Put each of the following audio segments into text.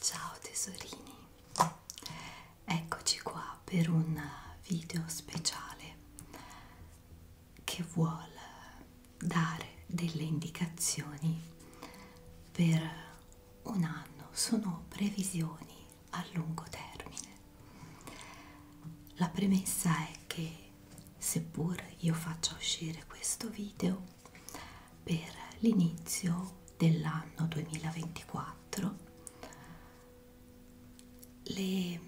Ciao tesorini, eccoci qua per un video speciale che vuole dare delle indicazioni per un anno, sono previsioni a lungo termine. La premessa è che seppur io faccia uscire questo video per l'inizio dell'anno 2024 le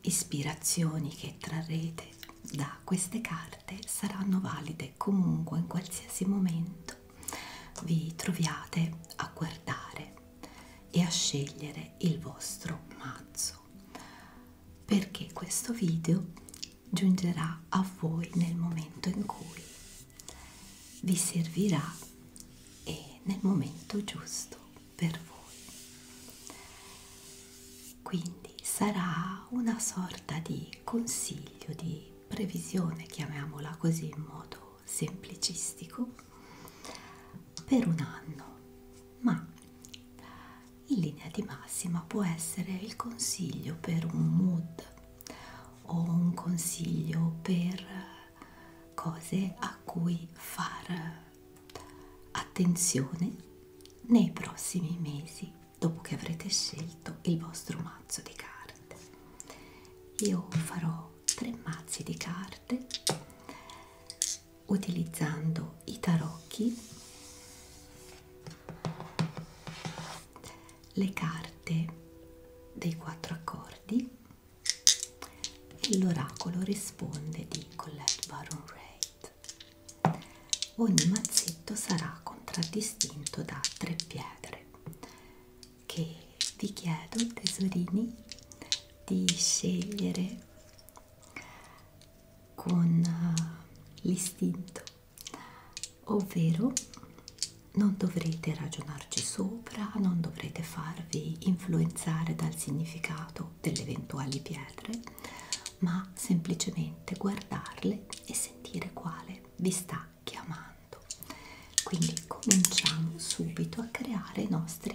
ispirazioni che trarrete da queste carte saranno valide comunque in qualsiasi momento vi troviate a guardare e a scegliere il vostro mazzo adesso perché questo video giungerà a voi nel momento in cui vi servirà e nel momento giusto per voi quindi sarà una sorta di consiglio di previsione chiamiamola così in modo semplicistico per un anno, ma in linea di massima può essere il consiglio per un mood o un consiglio per cose a cui far attenzione nei prossimi mesi dopo che avrete scelto il vostro mazzo di carte. Io farò tre mazzi di carte utilizzando i tarocchi, le carte dei quattro accordi e l'oracolo risponde di Colette Baron Reid. Ogni mazzetto sarà contraddistinto da tre pietre che vi chiedo tesorini di scegliere con eh, l'istinto ovvero non dovrete ragionarci sopra non dovrete farvi influenzare dal significato delle eventuali pietre ma semplicemente guardarle e sentire quale vi sta chiamando quindi cominciamo subito a creare i nostri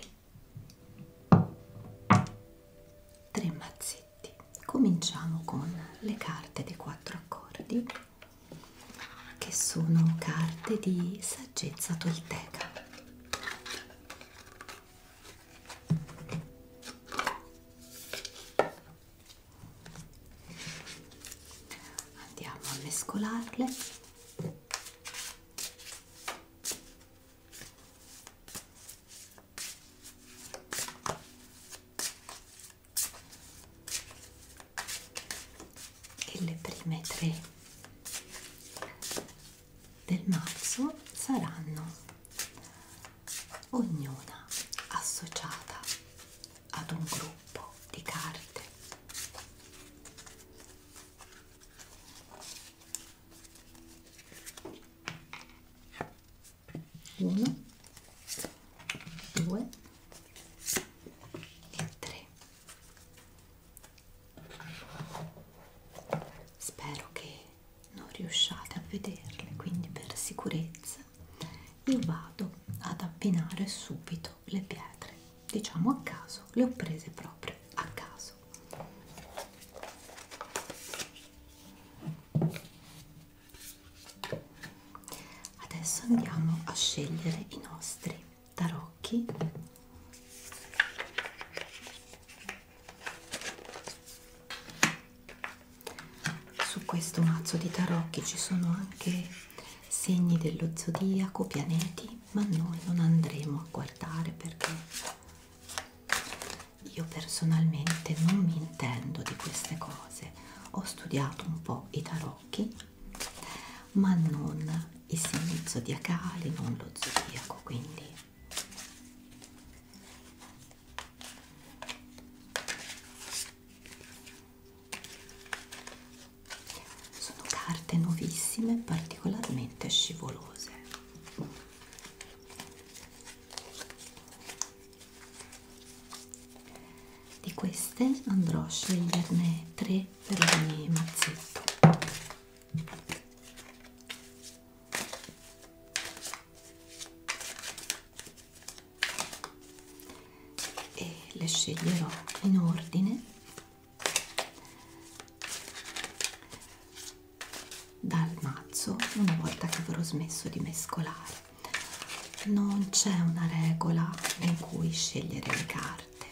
3 mazzetti cominciamo con le carte dei quattro accordi che sono carte di saggezza tolteca andiamo a mescolarle e le prime tre del mazzo saranno ognuna associata ad un gruppo di carte 1 2 e 3 spero che non riusciate a vederle quindi per sicurezza io vado ad abbinare subito le pietre diciamo a caso le ho prese proprio a caso caso adesso andiamo a scegliere i nostri tarocchi su questo mazzo di tarocchi ci sono anche segni dello zodiaco pianeti ma noi non andremo a guardare perché io personalmente non mi intendo di queste cose, ho studiato un po' i tarocchi, ma non i segni zodiacali, non lo zodiaco, quindi sono carte nuovissime, particolarmente scivolose. Di queste andrò a sceglierne tre per ogni mazzetto. E le sceglierò in ordine dal mazzo una volta che avrò smesso di mescolare non c'è una regola in cui scegliere le carte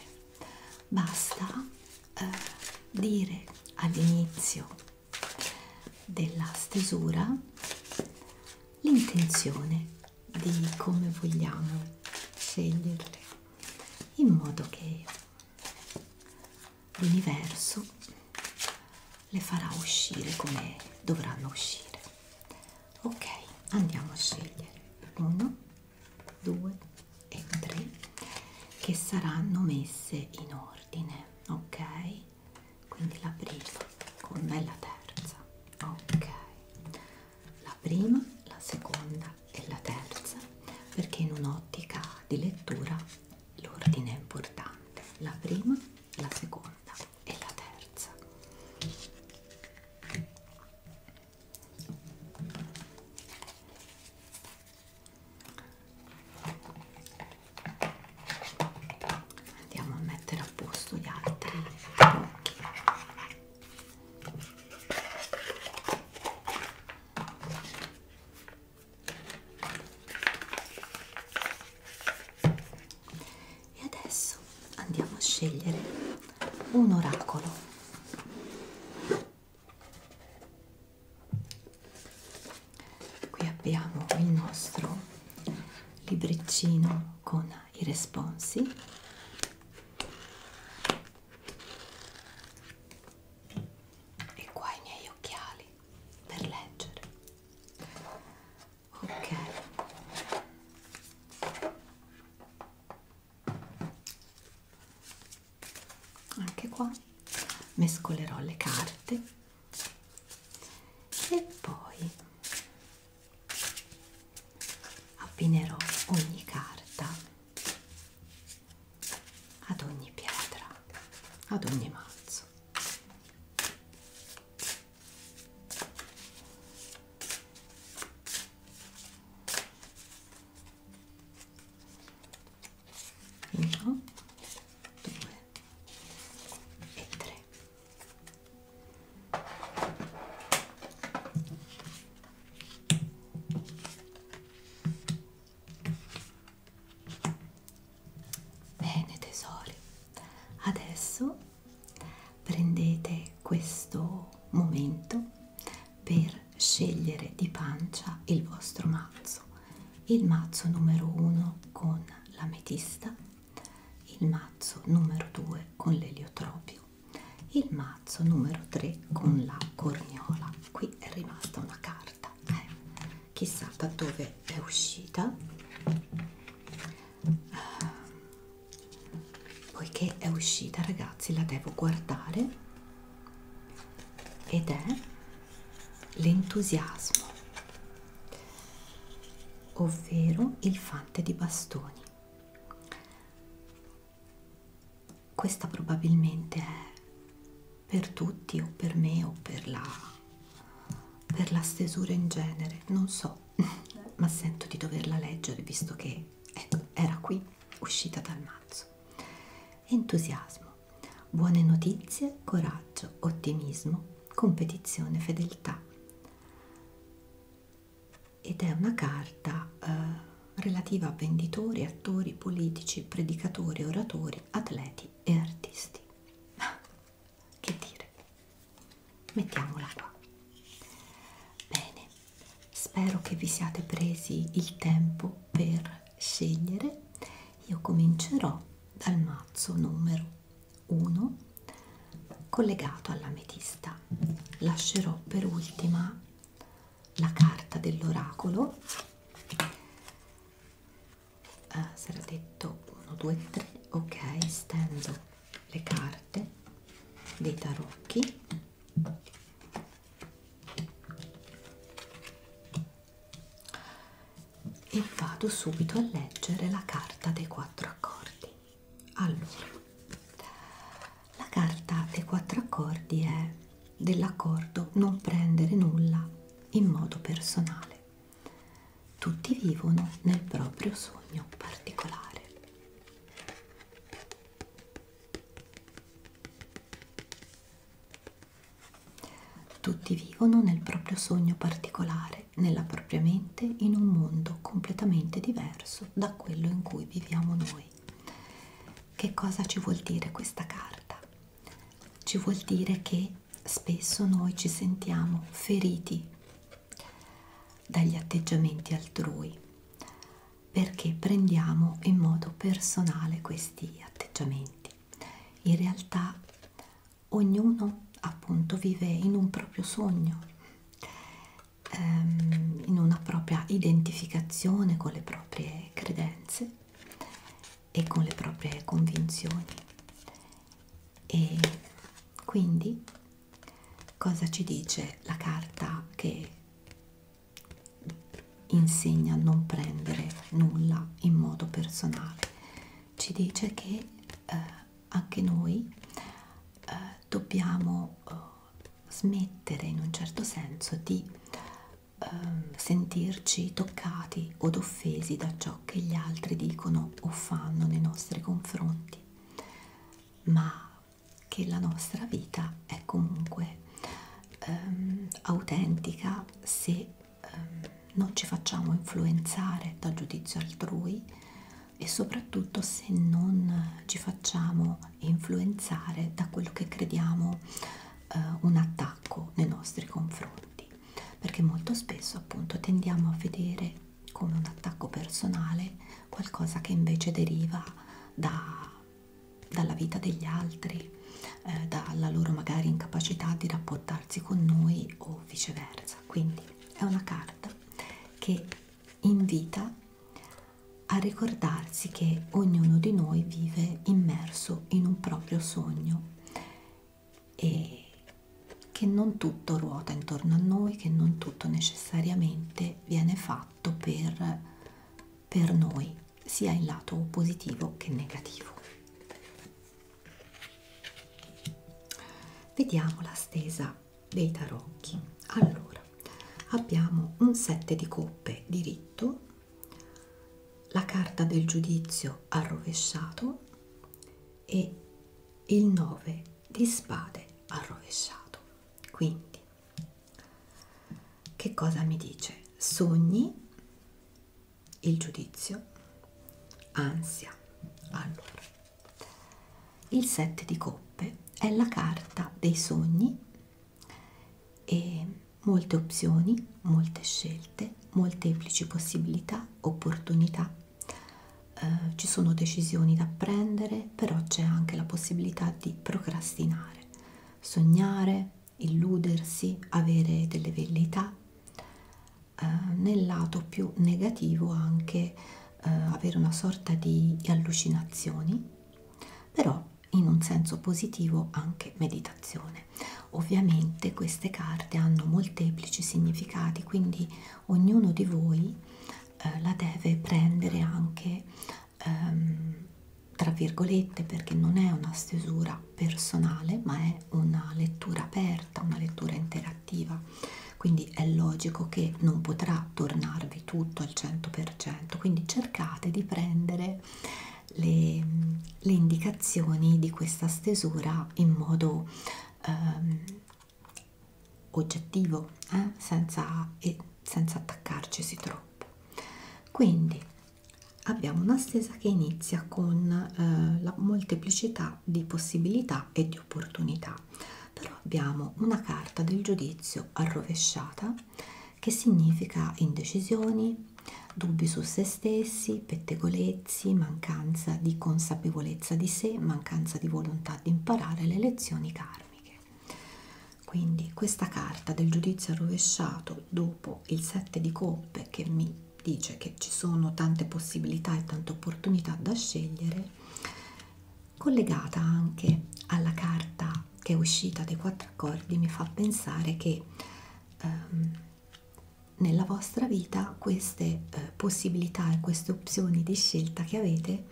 basta eh, dire all'inizio della stesura l'intenzione di come vogliamo sceglierle in modo che l'universo le farà uscire come dovranno uscire. Ok, andiamo a scegliere uno, due e tre che saranno messe in ordine. Ok, quindi la prima con la terza. Ok, la prima, la seconda e la terza perché in un'ottica di lettura l'ordine è importante la prima, la seconda e la terza andiamo a mettere a posto gli altri blocchi e adesso andiamo a scegliere un oracolo qui abbiamo il nostro libriccino con i responsi e qua i miei occhiali per leggere ok anche qua mescolerò le carte e poi appinerò ogni carta ad ogni pietra, ad ogni mazzo. Uno, due e tre. Bene tesori, adesso prendete questo momento per scegliere di pancia il vostro mazzo, il mazzo numero 1 con l'ametista, il mazzo numero 2 con l'eliotropio, il mazzo numero 3 con la corniola, qui è rimasta una carta carta eh, chissà da dove è uscita uh, poiché è uscita ragazzi la devo guardare ed è l'entusiasmo ovvero il fante di bastoni questa probabilmente è per tutti o per me o per la, per la stesura in genere, non so, ma sento di doverla leggere visto che ecco, era qui, uscita dal mazzo. Entusiasmo, buone notizie, coraggio, ottimismo, competizione, fedeltà. Ed è una carta eh, relativa a venditori, attori, politici, predicatori, oratori, atleti e artisti ma che dire mettiamola qua bene spero che vi siate presi il tempo per scegliere io comincerò dal mazzo numero 1 collegato all'ametista lascerò per ultima la carta dell'oracolo ah, sarà detto 1, 2, 3, ok, stendo le carte dei tarocchi e vado subito a leggere la carta dei quattro accordi. Allora, la carta dei quattro accordi è dell'accordo non prendere nulla in modo personale mentale. Tutti vivono nel proprio sogno particolare. Tutti vivono nel proprio sogno particolare, nella propria mente, in un mondo completamente diverso da quello in cui viviamo noi. Che cosa ci vuol dire questa carta? Ci vuol dire che spesso noi ci sentiamo feriti dagli atteggiamenti altrui perché prendiamo in modo personale questi atteggiamenti. In realtà ognuno appunto vive in un proprio sogno, ehm, in una propria identificazione con le proprie credenze e con le proprie convinzioni e quindi cosa ci dice la carta che insegna a non prendere nulla in modo personale ci dice che eh, anche noi eh, dobbiamo eh, smettere in un certo senso di ehm, sentirci toccati od offesi da ciò che gli altri dicono o fanno nei nostri confronti, ma che la nostra vita è comunque ehm, autentica se ehm, non ci facciamo influenzare dal giudizio altrui e soprattutto se non ci facciamo influenzare da quello che crediamo eh, un attacco nei nostri confronti perché molto spesso appunto tendiamo a vedere come un attacco personale qualcosa che invece deriva da, dalla vita degli altri, eh, dalla loro magari incapacità di rapportarsi con noi o viceversa. Quindi è una carta che invita a ricordarsi che ognuno di noi vive immerso in un proprio sogno e che non tutto ruota intorno a noi, che non tutto necessariamente viene fatto per, per noi, sia in lato positivo che negativo. Vediamo la stesa dei tarocchi. Allora, abbiamo un 7 di coppe diritto, la carta del giudizio al rovesciato e il 9 di spade al rovesciato. Quindi, che cosa mi dice? Sogni, il giudizio, ansia. Allora, il 7 di coppe è la carta dei sogni e molte opzioni, molte scelte, molteplici possibilità, opportunità, eh, ci sono decisioni da prendere, però c'è anche la possibilità di procrastinare, sognare, illudersi, avere delle velleità, eh, nel lato più negativo anche eh, avere una sorta di allucinazioni, però in un senso positivo anche meditazione persone. Ovviamente queste carte hanno molteplici significati, quindi ognuno di voi eh, la deve prendere anche ehm, tra virgolette perché non è una stesura personale, ma è una lettura aperta, una lettura interattiva. Quindi è logico che non potrà tornarvi tutto al 100%, quindi cercate di prendere le, le indicazioni di questa stesura in modo ehm, oggettivo, eh? senza, e senza attaccarcisi troppo. Quindi abbiamo una stesa che inizia con eh, la molteplicità di possibilità e di opportunità, però abbiamo una carta del giudizio arrovesciata che significa indecisioni, dubbi su se stessi, pettegolezzi, mancanza di consapevolezza di sé, mancanza di volontà di imparare le lezioni karmiche. Quindi questa carta del giudizio rovesciato dopo il 7 di coppe che mi dice che ci sono tante possibilità e tante opportunità da scegliere, collegata anche alla carta che è uscita dai quattro accordi, mi fa pensare che ehm, nella vostra vita queste eh, possibilità e queste opzioni di scelta che avete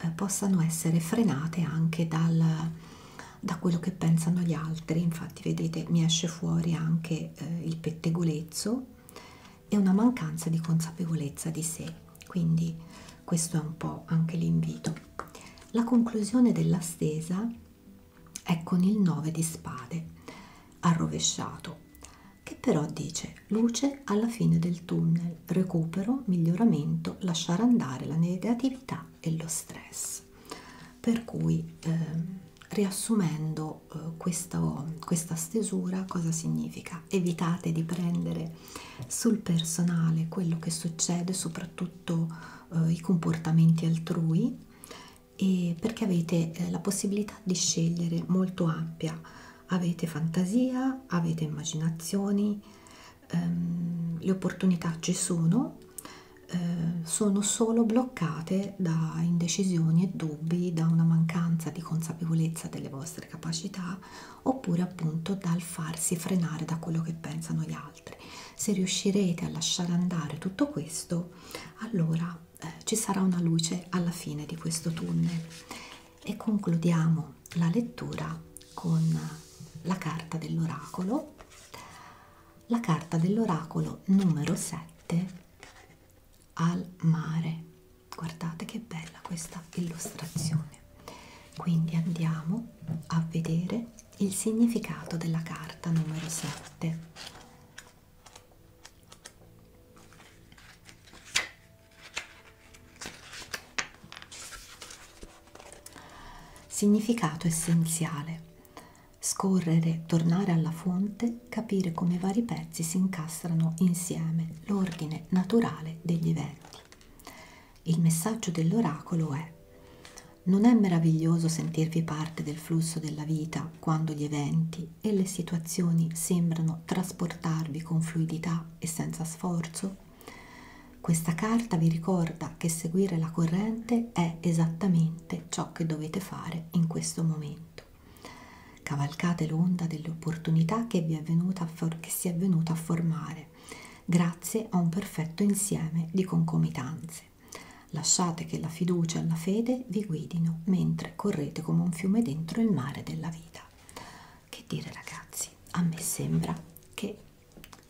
eh, possano essere frenate anche dal, da quello che pensano gli altri. Infatti vedete mi esce fuori anche eh, il pettegolezzo e una mancanza di consapevolezza di sé. Quindi questo è un po' anche l'invito. La conclusione della stesa è con il 9 di spade arrovesciato che però dice luce alla fine del tunnel, recupero, miglioramento, lasciare andare la negatività e lo stress. Per cui eh, riassumendo eh, questo, questa stesura cosa significa? Evitate di prendere sul personale quello che succede, soprattutto eh, i comportamenti altrui e perché avete eh, la possibilità di scegliere molto ampia avete fantasia avete immaginazioni ehm, le opportunità ci sono eh, sono solo bloccate da indecisioni e dubbi da una mancanza di consapevolezza delle vostre capacità oppure appunto dal farsi frenare da quello che pensano gli altri se riuscirete a lasciare andare tutto questo allora eh, ci sarà una luce alla fine di questo tunnel e concludiamo la lettura con la carta dell'oracolo la carta dell'oracolo numero 7 al mare guardate che bella questa illustrazione quindi andiamo a vedere il significato della carta numero 7 Significato essenziale. Scorrere, tornare alla fonte, capire come i vari pezzi si incastrano insieme, l'ordine naturale degli eventi. Il messaggio dell'oracolo è non è meraviglioso sentirvi parte del flusso della vita quando gli eventi, e le situazioni sembrano trasportarvi con fluidità e senza sforzo? Questa carta vi ricorda che seguire la corrente è esattamente ciò che dovete fare in questo momento. Cavalcate l'onda dell'opportunità che, che si è venuta a formare grazie a un perfetto insieme di concomitanze. Lasciate che la fiducia e la fede vi guidino mentre correte come un fiume dentro il mare della vita. Che dire ragazzi, a me sembra che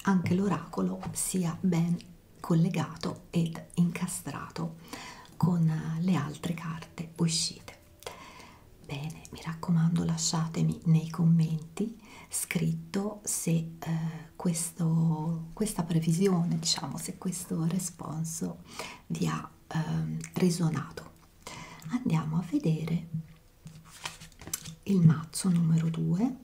anche l'oracolo sia ben collegato ed incastrato con le altre carte uscite. Bene, mi raccomando lasciatemi nei commenti scritto se eh, questo, questa previsione, diciamo, se questo responso vi ha ehm, resonato. Andiamo a vedere il mazzo numero 2.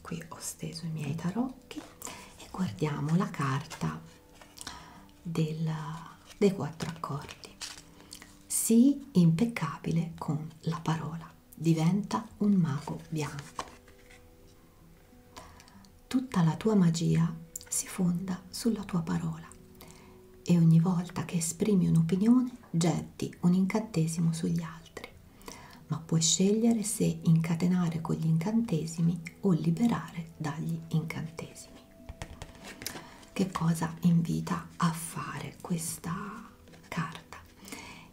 Qui ho steso i miei tarocchi e guardiamo la carta della, dei quattro accordi. Sii impeccabile con la parola, diventa un mago bianco. Tutta la tua magia si fonda sulla tua parola e ogni volta che esprimi un'opinione getti un incantesimo sugli altri, ma puoi scegliere se incatenare con gli incantesimi o liberare dagli incantesimi. Che cosa invita a fare questa carta?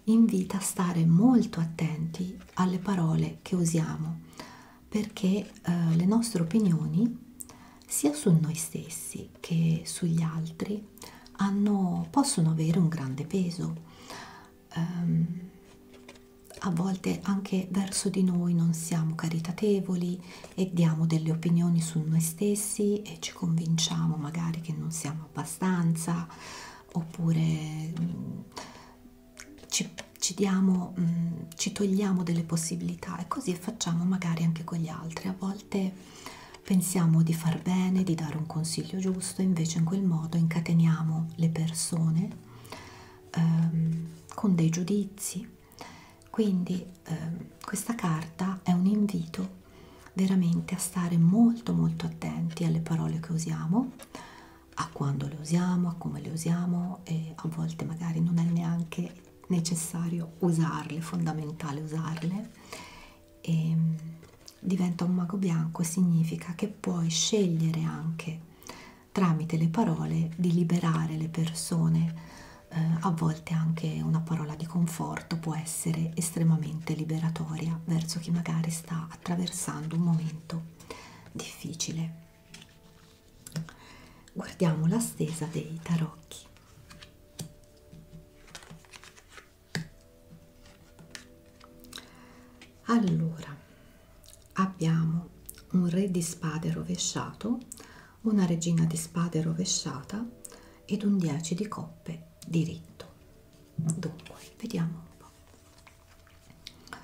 Invita a stare molto attenti alle parole che usiamo perché eh, le nostre opinioni sia su noi stessi che sugli altri hanno, possono avere un grande peso, um, a volte anche verso di noi non siamo caritatevoli, e diamo delle opinioni su noi stessi e ci convinciamo magari che non siamo abbastanza oppure mh, mm, ci, ci, diamo, mh, mm, ci togliamo delle possibilità e così facciamo magari anche con gli altri. A volte pensiamo di far bene, di dare un consiglio giusto, invece in quel modo incateniamo le persone ehm, con dei giudizi quindi eh, questa carta è un invito veramente a stare molto molto attenti alle parole che usiamo, a quando le usiamo, a come le usiamo e a volte magari non è neanche necessario usarle, fondamentale usarle. E, ehm, diventa un mago bianco significa che puoi scegliere anche tramite le parole di liberare le persone eh, a volte anche una parola di conforto può essere estremamente liberatoria verso chi magari sta attraversando un momento difficile. Guardiamo la stesa dei tarocchi. Allora, abbiamo un re di spade rovesciato, una regina di spade rovesciata ed un 10 di coppe diritto. Dunque, vediamo un po'.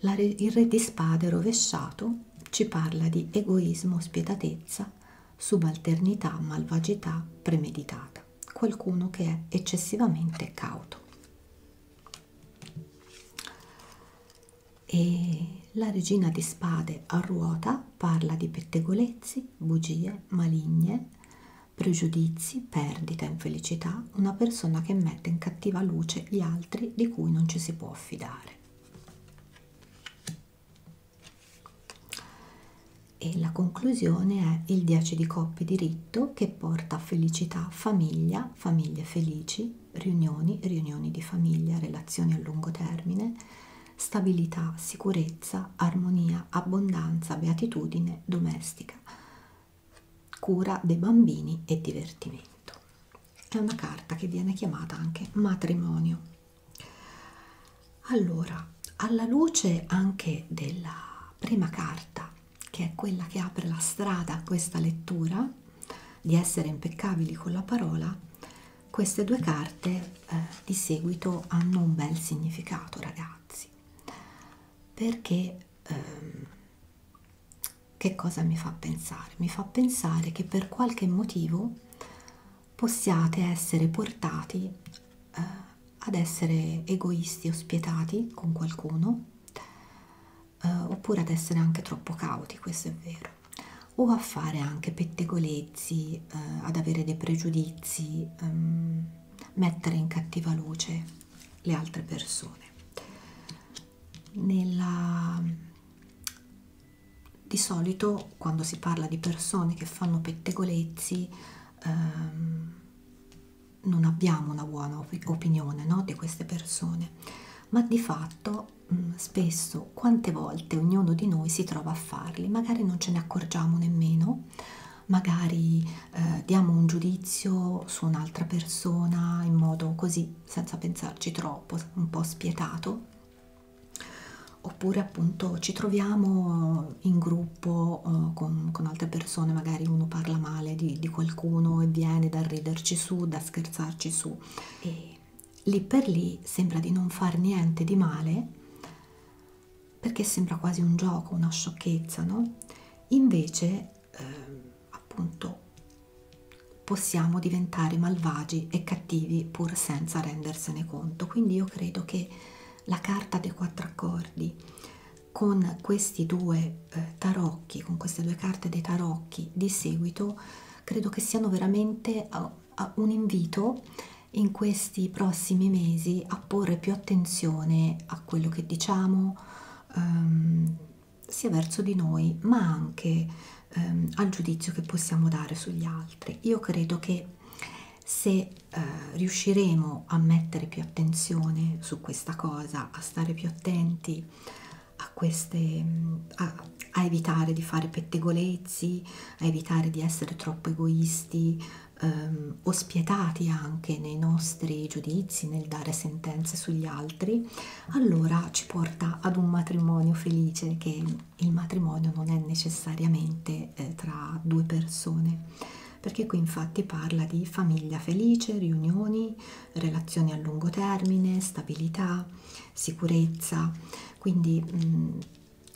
La, il re di spade rovesciato ci parla di egoismo, spietatezza, subalternità, malvagità premeditata, qualcuno che è eccessivamente cauto. E la regina di spade a ruota parla di pettegolezzi, bugie, maligne, pregiudizi, perdita, infelicità, una persona che mette in cattiva luce gli altri di cui non ci si può affidare. E la conclusione è il 10 di coppe diritto che porta felicità, famiglia, famiglie felici, riunioni, riunioni di famiglia, relazioni a lungo termine, stabilità, sicurezza, armonia, abbondanza, beatitudine domestica, cura dei bambini e divertimento. È una carta che viene chiamata anche matrimonio. Allora, alla luce anche della prima carta, che è quella che apre la strada a questa lettura, di essere impeccabili con la parola, queste due carte eh, di seguito hanno un bel significato ragazzi perché ehm, che cosa mi fa pensare? Mi fa pensare che per qualche motivo possiate essere portati eh, ad essere egoisti o spietati con qualcuno eh, oppure ad essere anche troppo cauti, questo è vero o a fare anche pettegolezzi, eh, ad avere dei pregiudizi, ehm, mettere in cattiva luce le altre persone. Nella... Di solito quando si parla di persone che fanno pettegolezzi ehm, non abbiamo una buona op opinione no, di queste persone, ma di fatto Mm, spesso quante volte ognuno di noi si trova a farli, magari non ce ne accorgiamo nemmeno, magari eh, diamo un giudizio su un'altra persona in modo così, senza pensarci troppo, un po' spietato, oppure appunto ci troviamo in gruppo eh, con, con altre persone, magari uno parla male di, di qualcuno e viene da riderci su, da scherzarci su. E lì per lì sembra di non far niente di male perché sembra quasi un gioco, una sciocchezza, no? Invece, eh, appunto, possiamo diventare malvagi e cattivi pur senza rendersene conto. Quindi io credo che la carta dei quattro accordi con questi due eh, tarocchi, con queste due carte dei tarocchi di seguito credo che siano veramente un invito in questi prossimi mesi a porre più attenzione a quello che diciamo ehm, sia verso di noi ma anche ehm, al giudizio che possiamo dare sugli altri io credo che se eh, riusciremo a mettere più attenzione su questa cosa a stare più attenti a queste a, a evitare di fare pettegolezzi, a evitare di essere troppo egoisti ehm, o spietati anche nei nostri giudizi, nel dare sentenze sugli altri, allora ci porta ad un matrimonio felice che il matrimonio non è necessariamente eh, tra due persone perché qui infatti parla di famiglia felice, riunioni, relazioni a lungo termine, stabilità sicurezza, quindi mh, mm,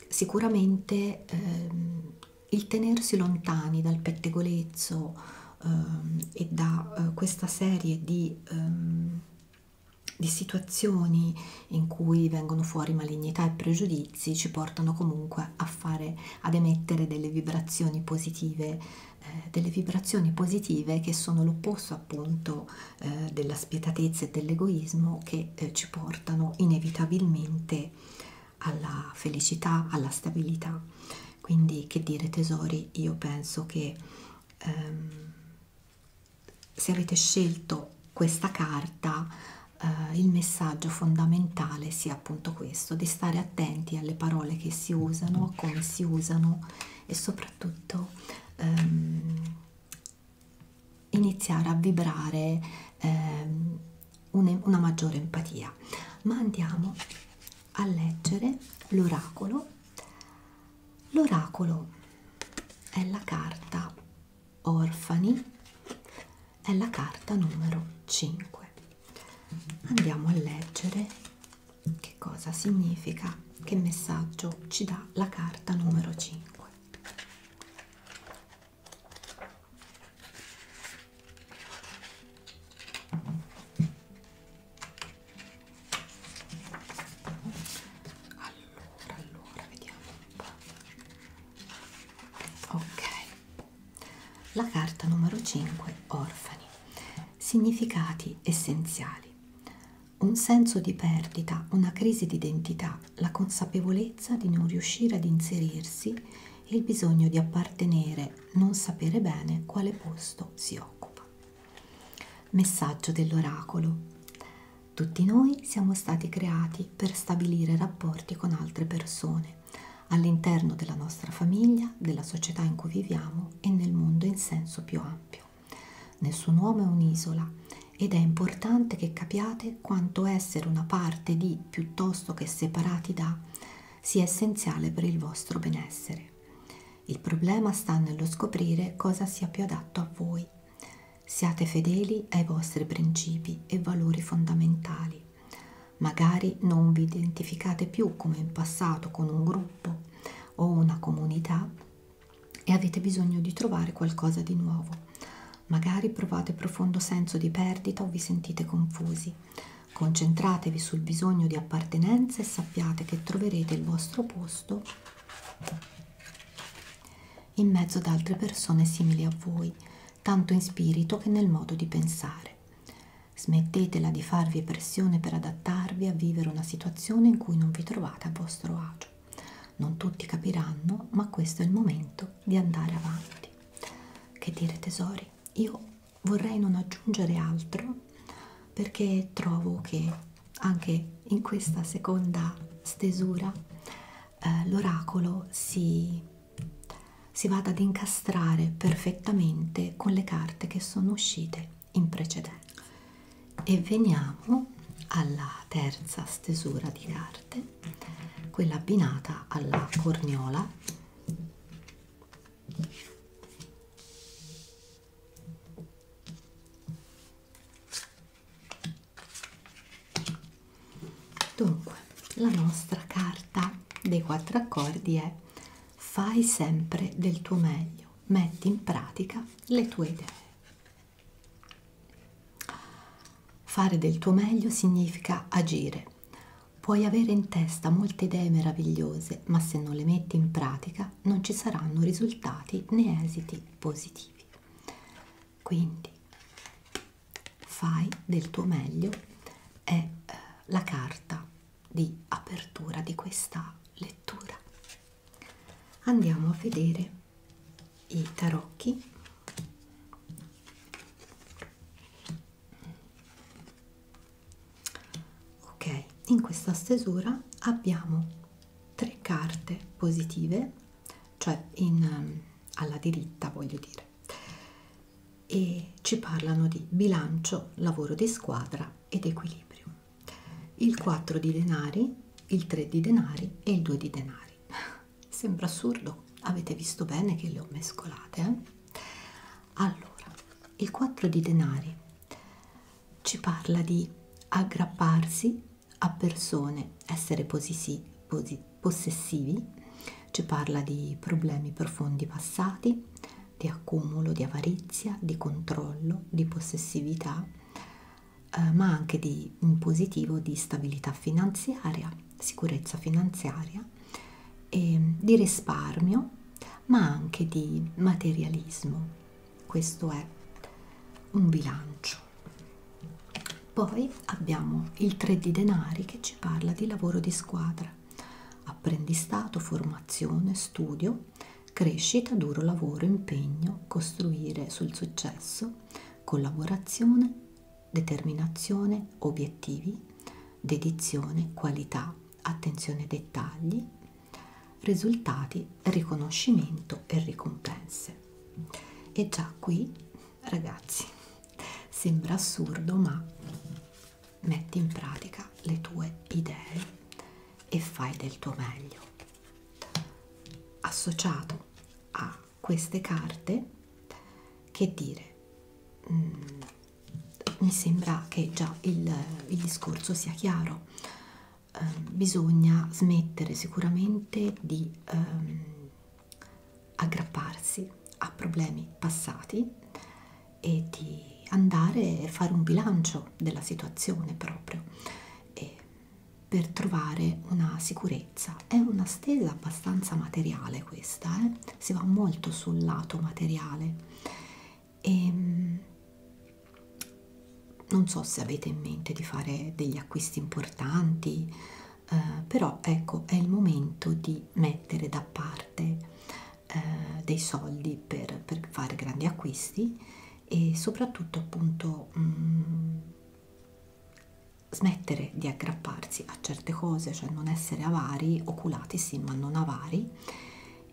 sicuramente ehm, il tenersi lontani dal pettegolezzo ehm, e da eh, questa serie di, ehm, di situazioni in cui vengono fuori malignità e pregiudizi ci portano comunque a fare, ad emettere delle vibrazioni positive, eh, delle vibrazioni positive che sono l'opposto appunto eh, della spietatezza e dell'egoismo che eh, ci portano inevitabilmente alla felicità, alla stabilità. Quindi che dire tesori, io penso che ehm, se avete scelto questa carta eh, il messaggio fondamentale sia appunto questo, di stare attenti alle parole che si usano, come si usano e soprattutto ehm, iniziare a vibrare ehm, una maggiore empatia. Ma andiamo a leggere l'oracolo. L'oracolo è la carta orfani, è la carta numero 5. Andiamo a leggere che cosa significa, che messaggio ci dà la carta numero 5 allora allora vediamo un po' ok la carta numero 5 orfani significati essenziali un senso di perdita, una crisi di identità, la consapevolezza di non riuscire ad inserirsi e il bisogno di appartenere, non sapere bene quale posto si occupa. Messaggio dell'oracolo. Tutti noi siamo stati creati per stabilire rapporti con altre persone, all'interno della nostra famiglia, della società in cui viviamo e nel mondo in senso più ampio. Nel suo uomo è un'isola ed è importante che capiate quanto essere una parte di piuttosto che separati da sia essenziale per il vostro benessere. Il problema sta nello scoprire cosa sia più adatto a voi. Siate fedeli ai vostri principi e valori fondamentali. Magari non vi identificate più come in passato con un gruppo o una comunità, e avete bisogno di trovare qualcosa di nuovo. Magari provate profondo senso di perdita o vi sentite confusi. Concentratevi sul bisogno di appartenenza e sappiate che troverete il vostro posto in mezzo ad altre persone simili a voi, tanto in spirito che nel modo di pensare. Smettetela di farvi pressione per adattarvi a vivere una situazione in cui non vi trovate a vostro agio. Non tutti capiranno, ma questo è il momento di andare avanti. Che dire tesori? Io vorrei non aggiungere altro perché trovo che anche in questa seconda stesura eh, l'oracolo si, si vada ad incastrare perfettamente con le carte che sono uscite in precedenza e veniamo alla terza stesura di carte quella abbinata alla corniola dunque la nostra carta dei quattro accordi è fai sempre del tuo meglio metti in pratica le tue idee Fare del tuo meglio significa agire. Puoi avere in testa molte idee meravigliose, ma se non le metti in pratica non ci saranno risultati né esiti positivi. Quindi fai del tuo meglio è eh, la carta di apertura di questa lettura andiamo a vedere i tarocchi ok in questa stesura abbiamo tre carte positive cioè in, ehm, alla diritta voglio dire e ci parlano di bilancio lavoro di squadra ed equilibrio il 4 di denari il 3 di denari e il 2 di denari zuccheri sembra assurdo avete visto bene che le ho mescolate eh? allora il 4 di denari ci parla di aggrapparsi a persone essere posisi, posi, possessivi ci parla di problemi profondi passati di accumulo di avarizia di controllo di possessività eh, ma anche di un positivo di stabilità finanziaria, sicurezza finanziaria, e ehm, di risparmio, ma anche di materialismo. Questo è un bilancio. Poi abbiamo il 3 di denari che ci parla di lavoro di squadra, apprendistato, formazione, studio, crescita, duro lavoro, impegno, costruire sul successo, collaborazione, determinazione, obiettivi, dedizione, qualità, attenzione ai dettagli, risultati, riconoscimento e ricompense. E già qui, ragazzi, sembra assurdo, ma metti in pratica le tue idee e fai del tuo meglio. Associato a queste carte che dire mm, mi sembra che già il, il discorso sia chiaro eh, bisogna smettere sicuramente di ehm, aggrapparsi a problemi passati e di andare a fare un bilancio della situazione proprio e per trovare una sicurezza. È una stesa abbastanza materiale questa, eh? si va molto sul lato materiale. E, ehm, non so se avete in mente di fare degli acquisti importanti, eh, però ecco è il momento di mettere da parte eh, dei soldi per, per fare grandi acquisti e soprattutto appunto mh, mm, smettere di aggrapparsi a certe cose, cioè non essere avari, oculati sì, ma non avari,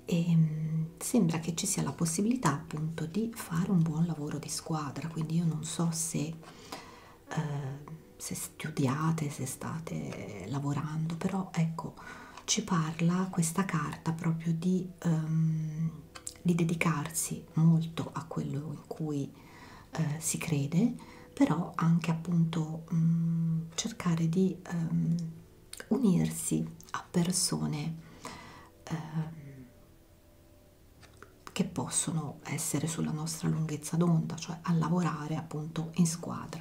e ehm, sembra che ci sia la possibilità appunto di fare un buon lavoro di squadra, quindi io non so se, eh, se studiate, se state lavorando, però ecco, ci parla questa carta proprio di, ehm, di dedicarsi molto a quello in cui eh, si crede, però anche appunto mh, mm, cercare di um, unirsi a persone um, che possono essere sulla nostra lunghezza d'onda, cioè a lavorare appunto in squadra.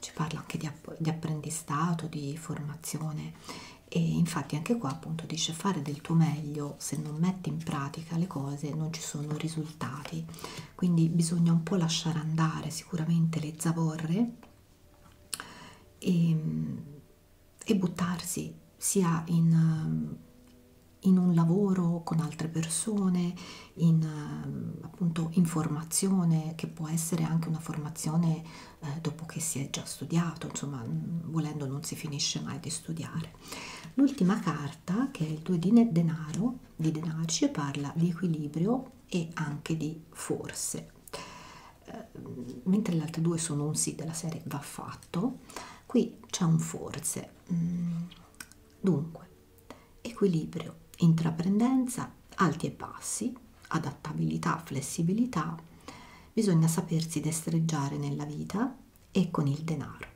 Ci parla anche di, app di apprendistato, di formazione e infatti anche qua appunto dice fare del tuo meglio quando se non metti in pratica le cose non ci sono risultati quindi bisogna un po' lasciare andare sicuramente le zavorre e, ehm, e buttarsi sia in, in un lavoro con altre persone in appunto in formazione che può essere anche una formazione eh, dopo che si è già studiato insomma mm, volendo non si finisce mai di studiare valore. L'ultima carta, che è il 2 di denaro, di denarci, parla di equilibrio e anche di forze. Eh, mentre le altre due sono un sì della serie va fatto, qui c'è un forze. Mm, dunque, equilibrio, intraprendenza, alti e bassi, adattabilità, flessibilità, bisogna sapersi destreggiare nella vita e con il denaro.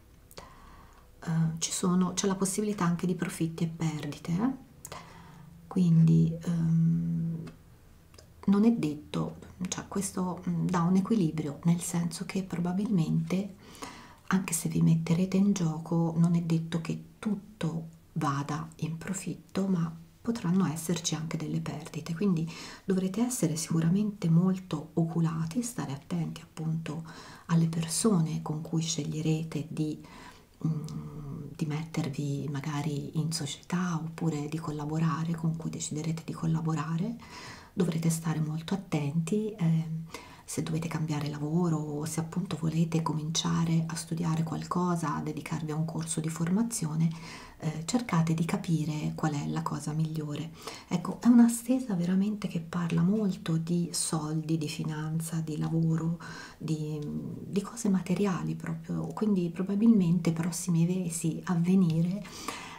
Uh, C'è la possibilità anche di profitti e perdite, eh? quindi um, non è detto, cioè questo mm, dà un equilibrio, nel senso che probabilmente anche se vi metterete in gioco non è detto che tutto vada in profitto, ma potranno esserci anche delle perdite, quindi dovrete essere sicuramente molto oculati, stare attenti appunto alle persone con cui sceglierete di, um, di mettervi magari in società oppure di collaborare, con cui deciderete di collaborare, dovrete stare molto attenti. Eh, se dovete cambiare lavoro o se appunto volete cominciare a studiare qualcosa, a dedicarvi a un corso di formazione, eh, cercate di capire qual è la cosa migliore. Ecco, è una stesa veramente che parla molto di soldi, di finanza, di lavoro, di, di cose materiali proprio, quindi probabilmente i prossimi mesi a venire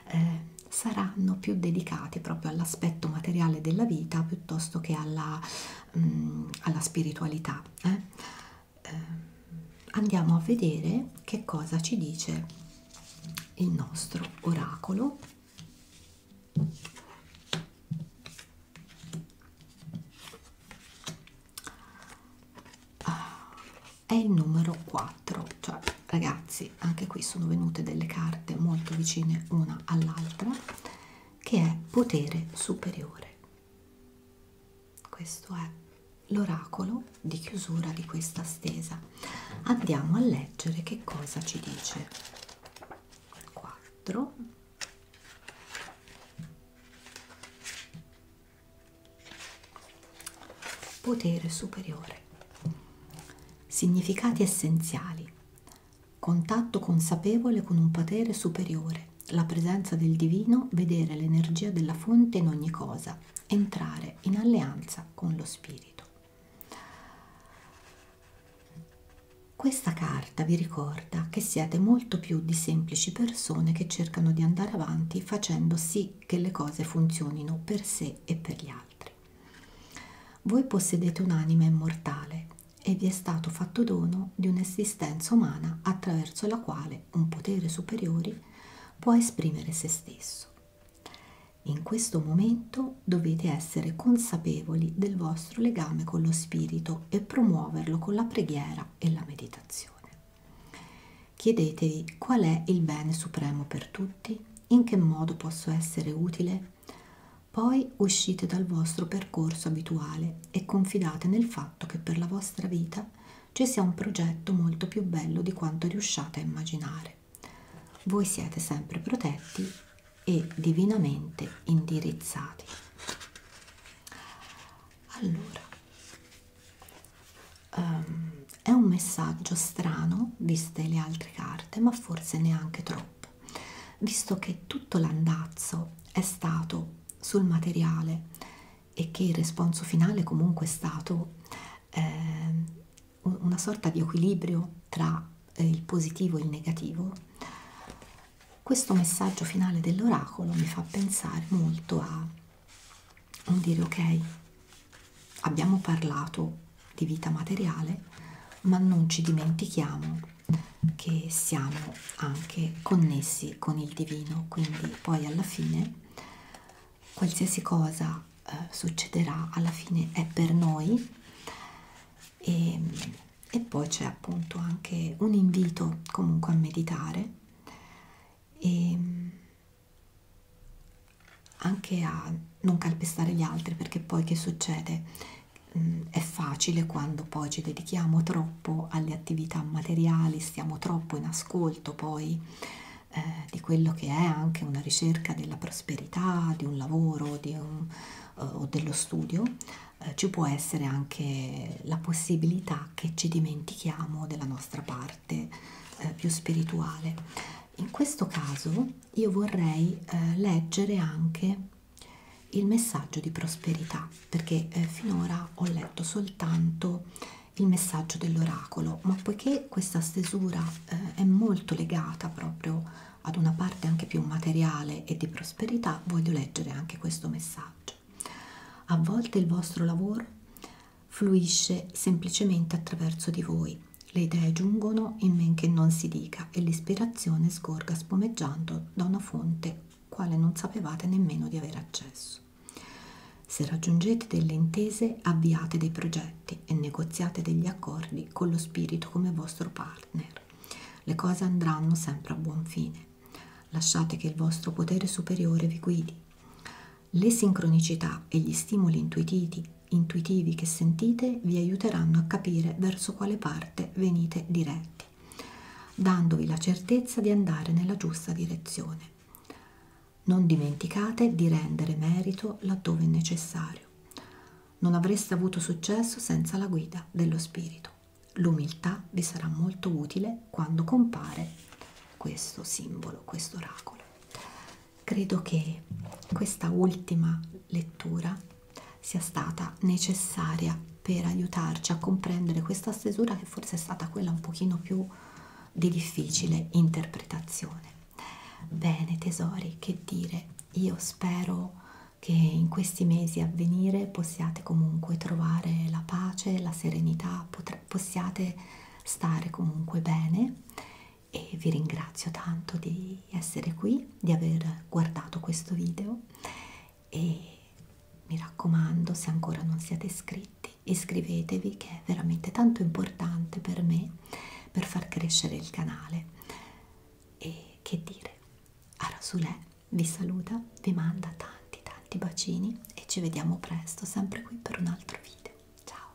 eh, saranno più dedicati proprio all'aspetto materiale della vita piuttosto che alla, mh, mm, alla spiritualità. Eh? Eh, andiamo a vedere che cosa ci dice il nostro oracolo ah, è il numero 4 cioè ragazzi anche qui sono venute delle carte molto vicine una all'altra che è potere superiore questo è l'oracolo di chiusura di questa stesa andiamo a leggere che cosa ci dice 4 potere superiore significati essenziali contatto consapevole con un potere superiore la presenza del divino, vedere l'energia della fonte in ogni cosa, entrare in alleanza con lo spirito. Questa carta vi ricorda che siete molto più di semplici persone che cercano di andare avanti facendo sì che le cose funzionino per sé e per gli altri. Voi possedete un'anima immortale e vi è stato fatto dono di un'esistenza umana attraverso la quale un potere superiore può esprimere se stesso. In questo momento dovete essere consapevoli del vostro legame con lo spirito e promuoverlo con la preghiera e la meditazione. Chiedetevi qual è il bene supremo per tutti, in che modo posso essere utile. Poi uscite dal vostro percorso abituale e confidate nel fatto che per la vostra vita ci sia un progetto molto più bello di quanto riusciate a immaginare voi siete sempre protetti e divinamente indirizzati. Allora, um, è un messaggio strano, viste le altre carte, ma forse neanche troppo, visto che tutto l'andazzo è stato sul materiale e che il responso finale comunque è stato eh, una sorta di equilibrio tra eh, il positivo e il negativo, questo messaggio finale dell'oracolo mi fa pensare molto a un dire ok, abbiamo parlato di vita materiale, ma non ci dimentichiamo che siamo anche connessi con il divino, quindi poi alla fine qualsiasi cosa eh, succederà alla fine è per noi e, ehm, e poi c'è appunto anche un invito comunque a meditare e ehm, anche a non calpestare gli altri perché poi che succede mm, è facile quando poi ci dedichiamo troppo alle attività materiali stiamo troppo in ascolto poi eh, di quello che è anche una ricerca della prosperità, di un lavoro di un, eh, o dello studio, eh, ci può essere anche la possibilità che ci dimentichiamo della nostra parte eh, più spirituale. In questo caso io vorrei eh, leggere anche il messaggio di prosperità, perché eh, finora ho letto soltanto il messaggio dell'oracolo, ma poiché questa stesura eh, è molto legata proprio ad una parte anche più materiale e di prosperità, voglio leggere anche questo messaggio. A volte il vostro lavoro fluisce semplicemente attraverso di voi, le idee giungono in men che non si dica e l'ispirazione sgorga spumeggiando da una fonte quale non sapevate nemmeno di avere accesso. Se raggiungete delle intese, avviate dei progetti progetti e negoziate degli accordi con lo spirito come vostro partner. Le cose andranno sempre a buon fine. Lasciate che il vostro potere superiore vi guidi. Le sincronicità e gli stimoli intuitivi, intuitivi che sentite vi aiuteranno a capire verso quale parte venite diretti, dandovi la certezza di andare nella giusta direzione. Non dimenticate di rendere merito laddove necessario. Non avreste avuto successo senza la guida dello spirito. L'umiltà vi sarà molto utile quando compare questo simbolo, questo oracolo. Credo che questa ultima lettura sia stata necessaria per aiutarci a comprendere questa stesura che forse è stata quella un pochino più di difficile interpretazione. Bene tesori, che dire, io spero che in questi mesi a venire possiate comunque trovare la pace, la serenità, possiate stare comunque bene e vi ringrazio tanto di essere qui, di aver guardato questo video e mi raccomando se ancora non siete iscritti iscrivetevi che è veramente tanto importante per me per far crescere il canale. E che dire, Arasulè vi saluta, vi manda tanti tanti bacini e ci vediamo presto sempre qui per un altro video. Ciao!